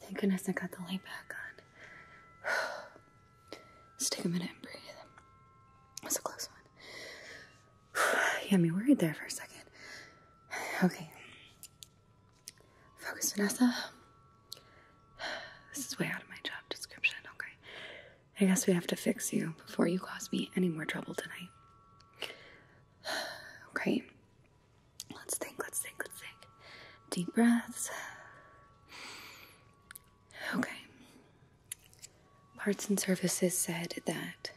Thank goodness I got the light back on. Let's take a minute and breathe. That's a close one. you had me worried there for a second. Okay. Focus, Vanessa. This is way out of my job description, okay? I guess we have to fix you before you cause me any more trouble tonight. Okay. Let's think, let's think, let's think. Deep breaths. Okay. Parts and Services said that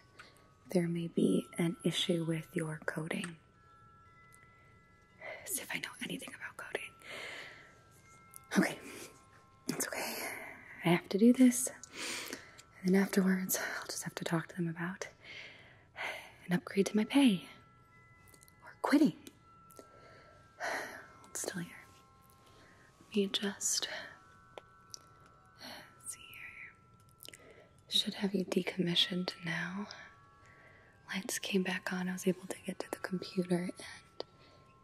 there may be an issue with your coding. See if I know anything about coding. Okay, it's okay. I have to do this. And then afterwards, I'll just have to talk to them about an upgrade to my pay or quitting. Hold still here. Let me adjust. Should have you decommissioned now lights came back on, I was able to get to the computer and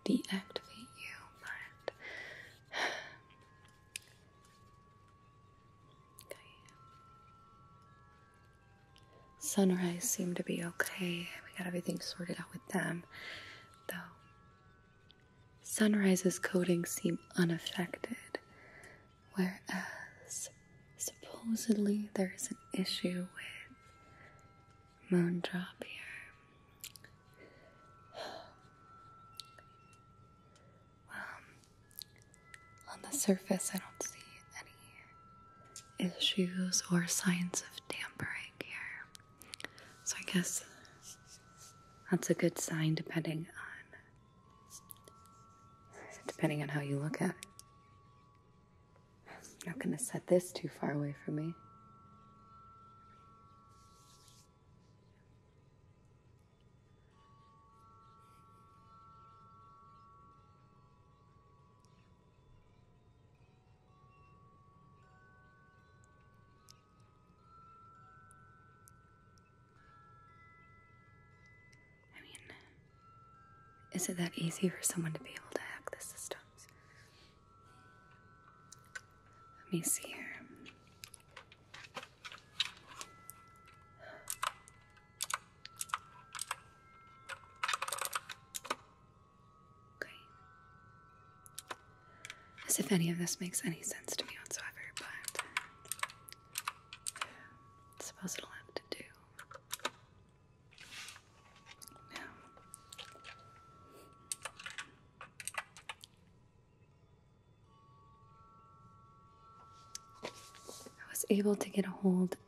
deactivate you, but Sunrise seemed to be okay. We got everything sorted out with them, though. Sunrise's coding seemed unaffected, whereas supposedly there's an issue with Moondrop here. on the surface, I don't see any issues or signs of tampering here. So I guess that's a good sign depending on depending on how you look at it. I'm not going to set this too far away from me. I mean, is it that easy for someone to be able to hack the systems? Let me see here. Okay. As if any of this makes any sense to me whatsoever, but suppose it'll have to do. Now, I was able to get a hold of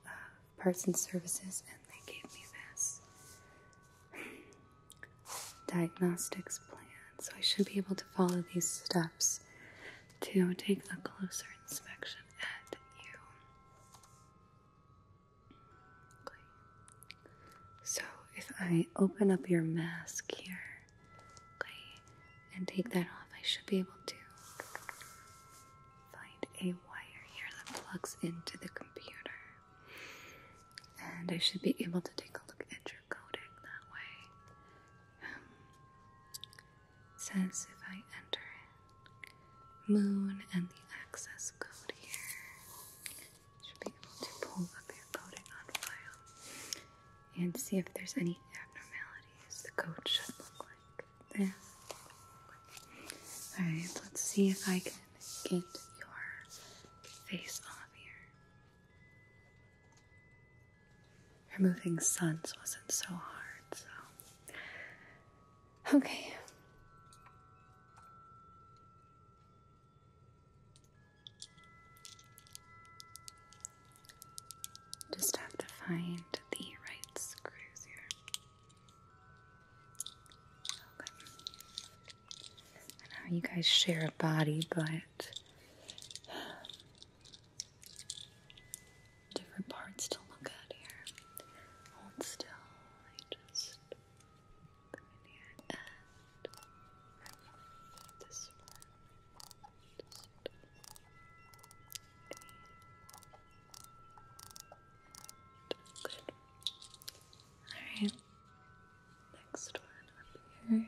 Parts and Services, and they gave me this diagnostics plan. So I should be able to follow these steps to take a closer inspection at you. So if I open up your mask here, and take that off, I should be able to find a wire here that plugs into the computer. And I should be able to take a look at your coding that way. Um, says if I enter it moon and the access code here. should be able to pull up your coding on file and see if there's any abnormalities. The code should look like this. Alright, let's see if I can get your face off here. Removing suns wasn't so hard, so Okay. Just have to find the right screws here. Okay. you guys share a body, but different parts to look at here. Hold still. I just come in here and this one. Alright. Next one up here.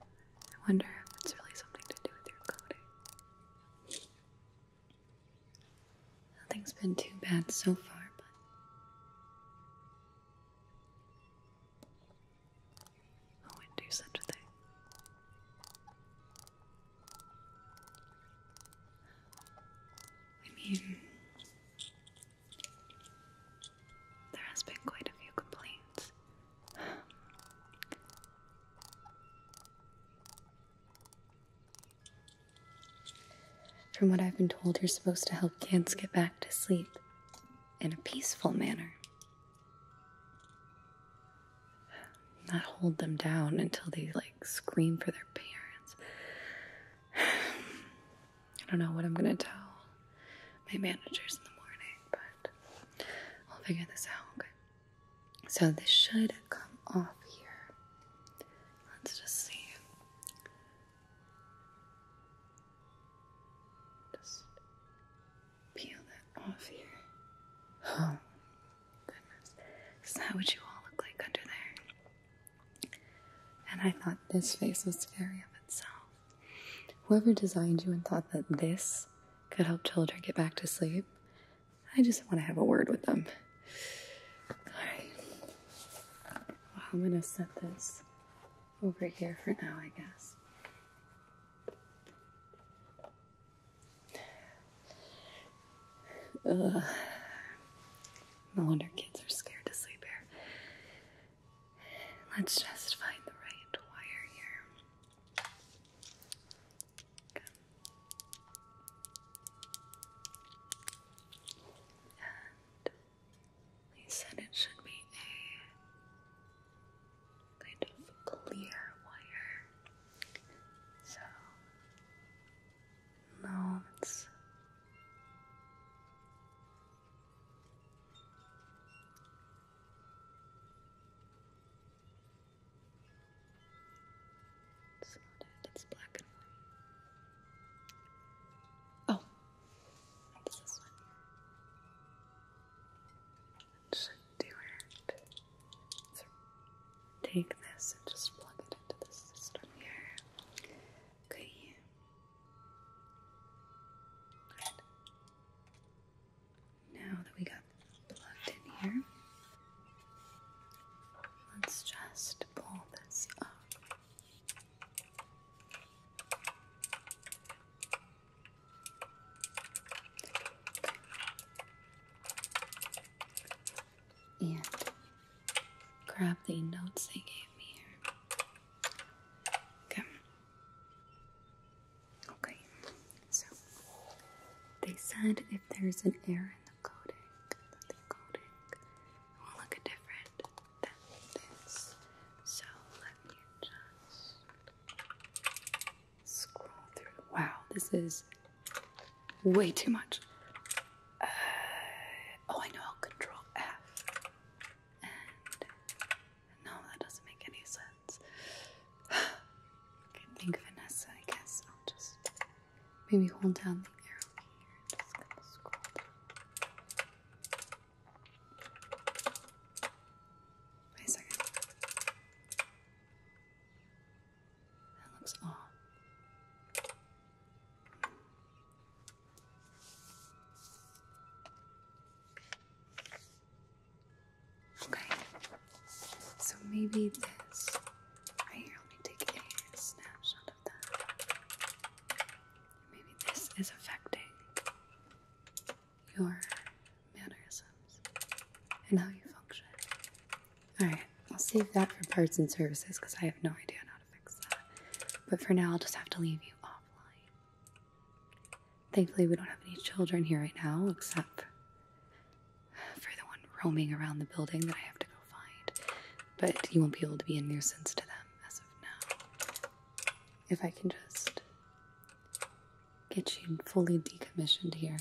I wonder if it's really something to do with your coding. Nothing's been too bad so far, but. Who would do such a thing? I mean, there has been quite a few complaints. From what I've been told, you're supposed to help kids get back to sleep in a peaceful manner. Not hold them down until they like scream for their parents. I don't know what I'm gonna tell my managers in the morning, but I'll figure this out, okay? So this should come off here. Let's just see. Just peel that off here. Oh, goodness. Is that what you all look like under there? And I thought this face was scary of itself. Whoever designed you and thought that this could help children get back to sleep, I just want to have a word with them. Alright. I'm going to set this over here for now, I guess. No wonder kids are scared to sleep here. Let's just find the right wire here. And they said it should be a kind of clear wire. So, no, that's it's black and white. Oh, this one. Let's do it. take this and just plug it into the system here. Okay. Now that we got plugged in here, let's just pull this up. And grab the notes they gave me here. Okay, Okay, so they said if there's an error in the coding, that will look different than this. So let me just scroll through. Wow, this is way too much. Uh, oh, I know. Control F no, that doesn't make any sense. okay, think Vanessa, I guess I'll just maybe hold down the arrow here Wait a second. That looks off. Okay. So maybe this right here, let me take a snapshot of that. Maybe this is affecting your mannerisms and how you function. Alright, I'll save that for parts and services because I have no idea how to fix that. But for now, I'll just have to leave you offline. Thankfully, we don't have any children here right now, except for the one roaming around the building that I have to go find. But you won't be able to be a nuisance to them as of now. If I can just get you fully decommissioned here,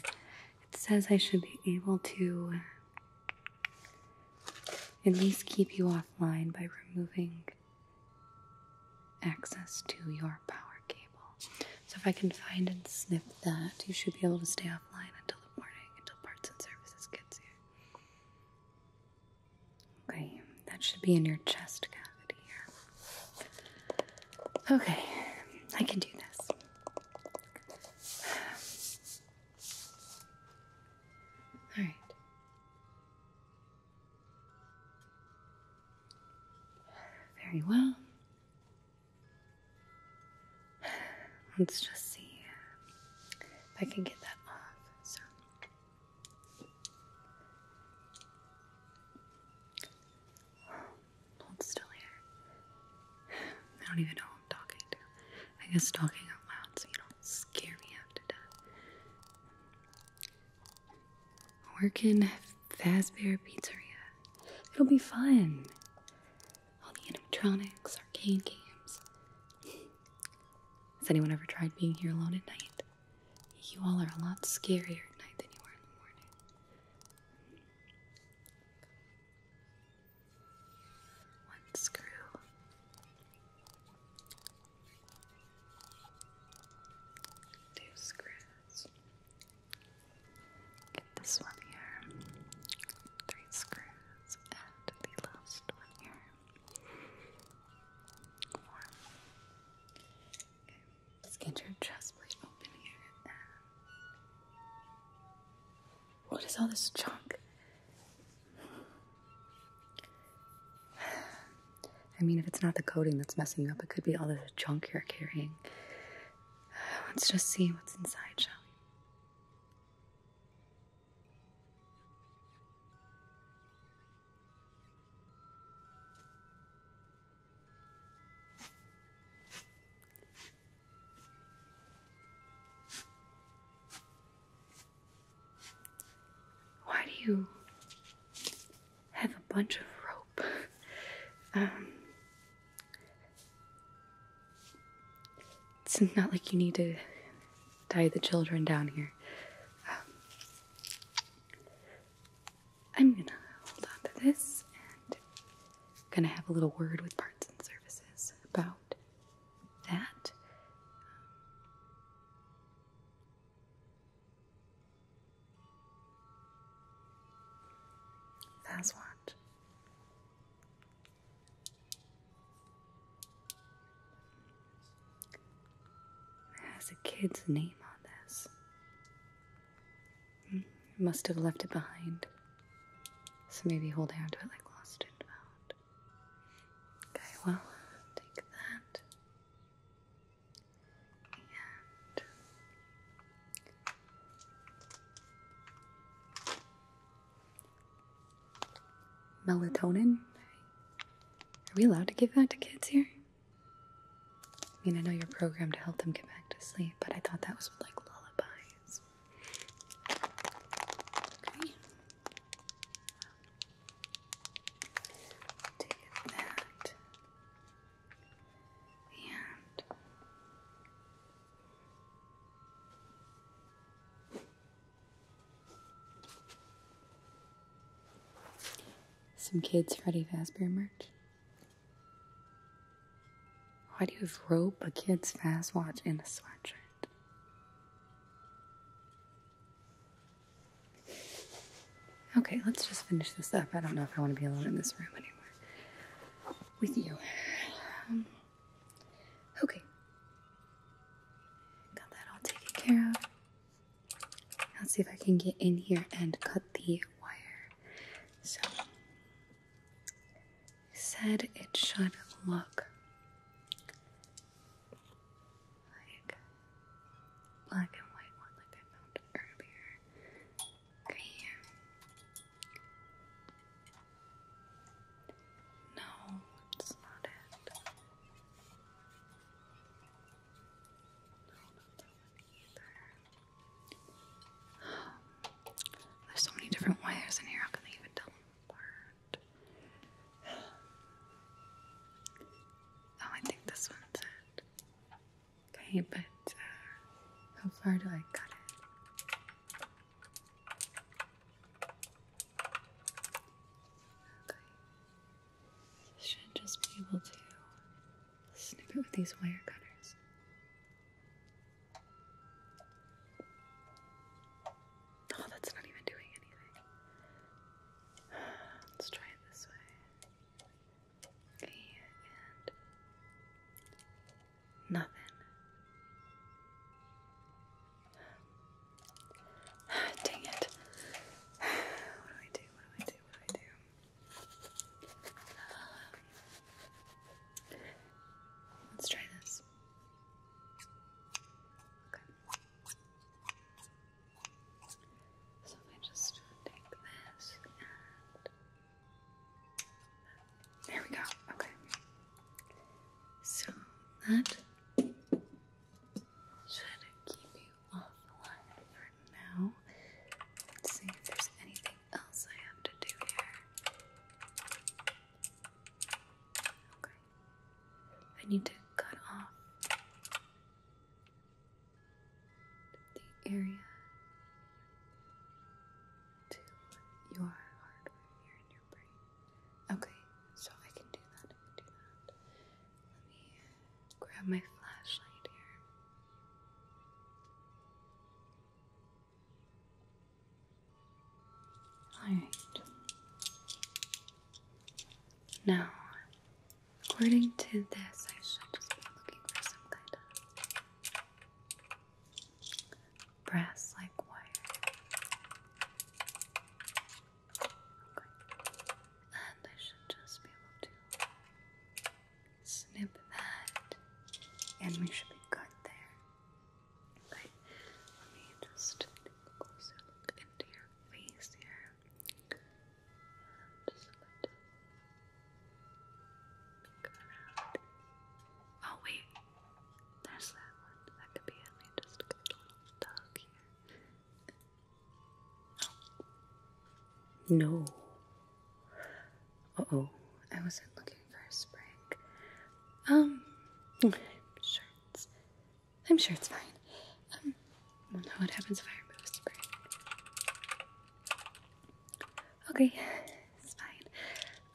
it says I should be able to at least keep you offline by removing access to your power cable. So if I can find and snip that, you should be able to stay offline until the morning, until parts and services gets here. Okay, that should be in your chest cavity here. Okay, I can do this. Alright. Very well. Let's just see if I can get that off. Oh, still here. I don't even know who I'm talking to. I guess talking out loud so you don't scare me out death. Working Fazbear Pizzeria. It'll be fun. All the animatronics, arcade games. Has anyone ever tried being here alone at night? You all are a lot scarier at night than you are in the morning. One screw two screws. Get this one here, three screws, and the last one here. Four. let's get your chest plate open here. what is all this junk? I mean, if it's not the coating that's messing you up, it could be all the junk you're carrying. Let's just see what's inside, shall we? Why do you have a bunch of rope. Um, it's not like you need to tie the children down here. Um, I'm gonna hold on to this and gonna have a little word with parts and services about that. That's what. It has a kid's name on this. Hmm, must have left it behind. So maybe holding on to it like lost and found. Okay, well, take that melatonin. Are we allowed to give that to kids here? I mean, I know you're programmed to help them get back to sleep, but I thought that was like lullabies. Okay. Take that. The Some kids Freddy Fazbear merch. Why do you have rope, a kid's fast watch, and a sweatshirt? Okay, let's just finish this up. I don't know if I want to be alone in this room anymore with you. Um, okay. Got that all taken care of. Let's see if I can get in here and cut the wire. So, said it should look like black and white one like I found earlier. Green. No, it's not it. No, not that one either. There's so many different wires in here, how can they even tell them apart? Oh, I think this one's it. Okay, but uh, how far do I cut it? Okay. Should just be able to snip it with these wire cutters. Oh, that's not even doing anything. Let's try it this way and nothing. Dang it. What do I do? What do I do? What do I do? let's try this. Okay. So I just take this and there we go. Okay. So that should keep you offline for now. Let's see if there's anything else I have to do here. Okay. I need to cut off the area to your hardware here in your brain. Okay, so I can do that. I can do that. Let me grab my flashlight here. Alright. Now, According to this, I should just be looking for some kind of brass like wire. And I should just be able to snip that, and we should be good there. Okay, let me just take a closer look into your face here. Oh wait, there's that one. That could be it. just a little dog here. No. Uh oh, I wasn't looking for a spring. Um, I'm sure it's, I'm sure it's fine. Um, We'll know what happens if I remove a spring. Okay, it's fine.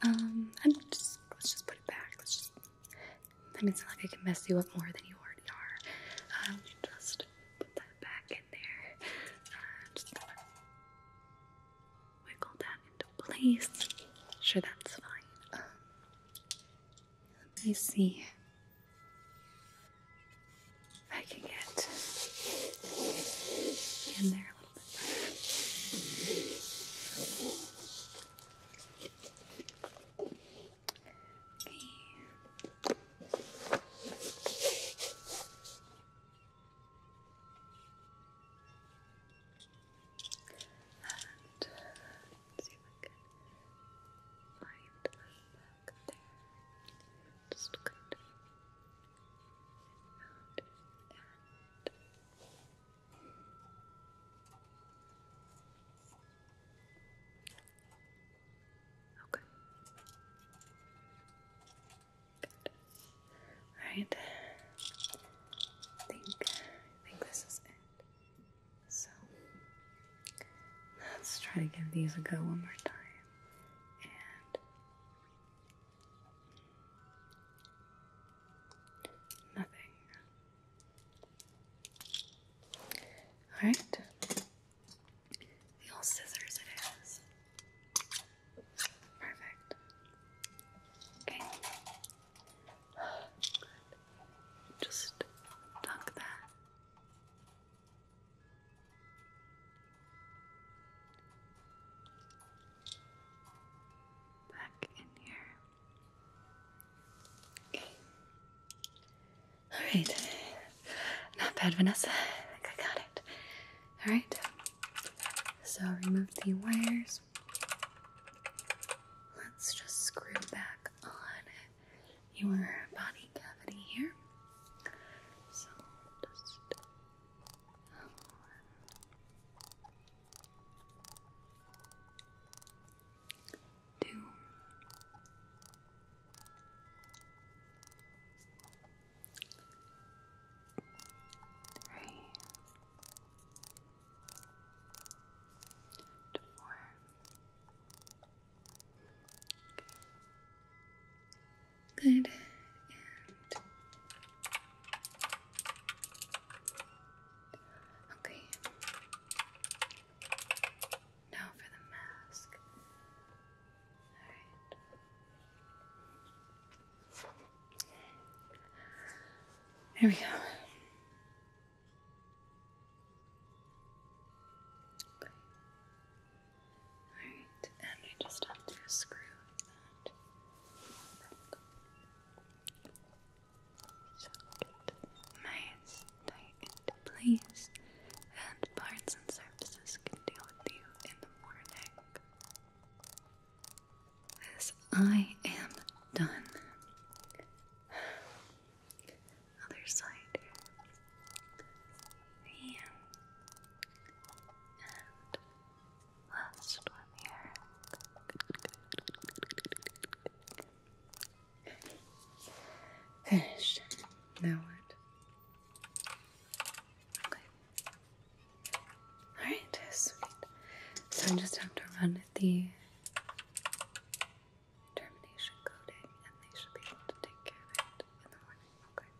Um, I'm just let's just put it back. Let's just. I mean, it's not like I can mess you up more than you already are. Um, just put that back in there. Uh, just wiggle that into place. Sure, that's fine. Um, let me see. I can get in there a little bit And uh, see if I can find back Just kind Okay. Alright. I think I think this is it. So let's try to give these a go one more time. And Nothing. Alright. The old scissors it is. Perfect. Okay. Just dunk that Back in here. Okay. Alright. Not bad, Vanessa. I think I got it. Alright. So remove the wires. Let's just screw back on your body cavity here. So just Two. Three. And four. Okay. Good. okay. Now for the mask. Alright. There we go. Alright, and I just have to screw that back. So tight into and parts and surfaces can deal with you in the morning. As I am done. Other side here. Yeah. Last one here. Finished. Now what? Alright, So I just have to run the termination coating and they should be able to take care of it in the morning. Okay.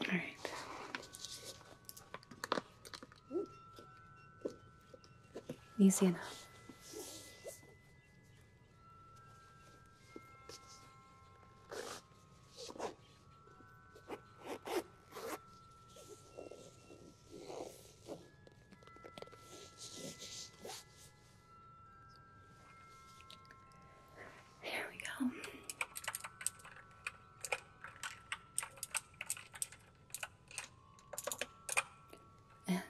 All right. Easy enough. There we go. And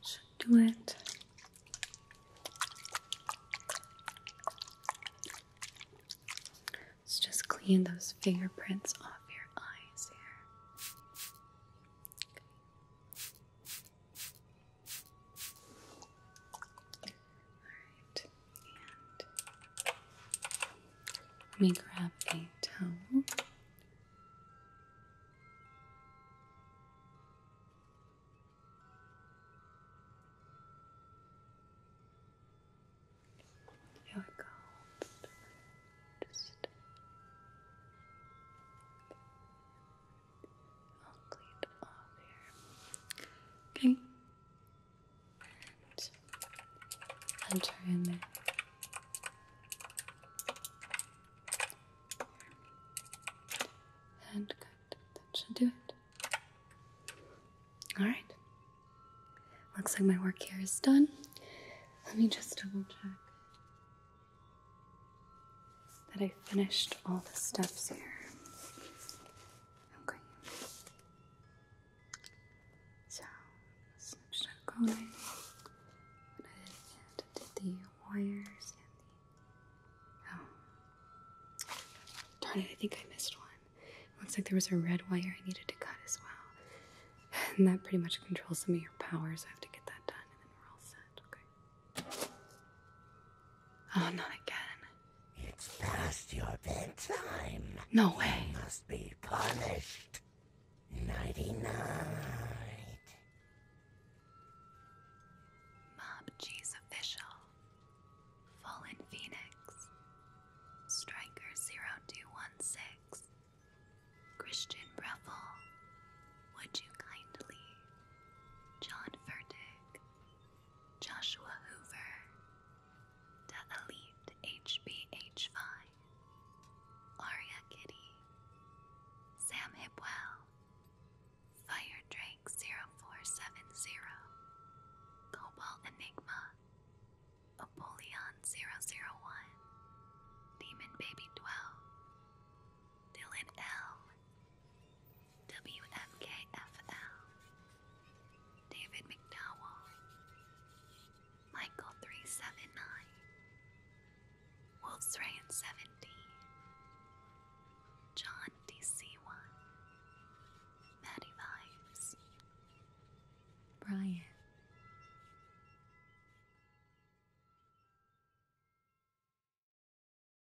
should do it. Let's just clean those fingerprints off your eyes here and let me grab a towel. Here we go. Just Okay. enter in there. And good. That should do it. Alright. Looks like my work here is done. Let me just double check that I finished all the steps here. Okay. So, let going. What I did the wires and the. Oh. Darn it, I think I missed one. looks like there was a red wire I needed to cut as well. And that pretty much controls some of your powers. I have to get that done and then we're all set. Okay. Oh, not again. It's past your bedtime. No way. must be punished. Nighty night. Mob G's official. Fallen Phoenix. Striker 0216. Christian Breffel. Would you kindly? John Furtick. Joshua Hoover, The Elite HBH5, Aria Kitty, Sam Hipwell, Fire Drake 0470, Cobalt Enigma, Apollyon 001, Demon Baby 12, Dylan L, WMKFL, David McDowell, Michael 379, Wolf's 70, John DC1, Maddie Vibes, Brian.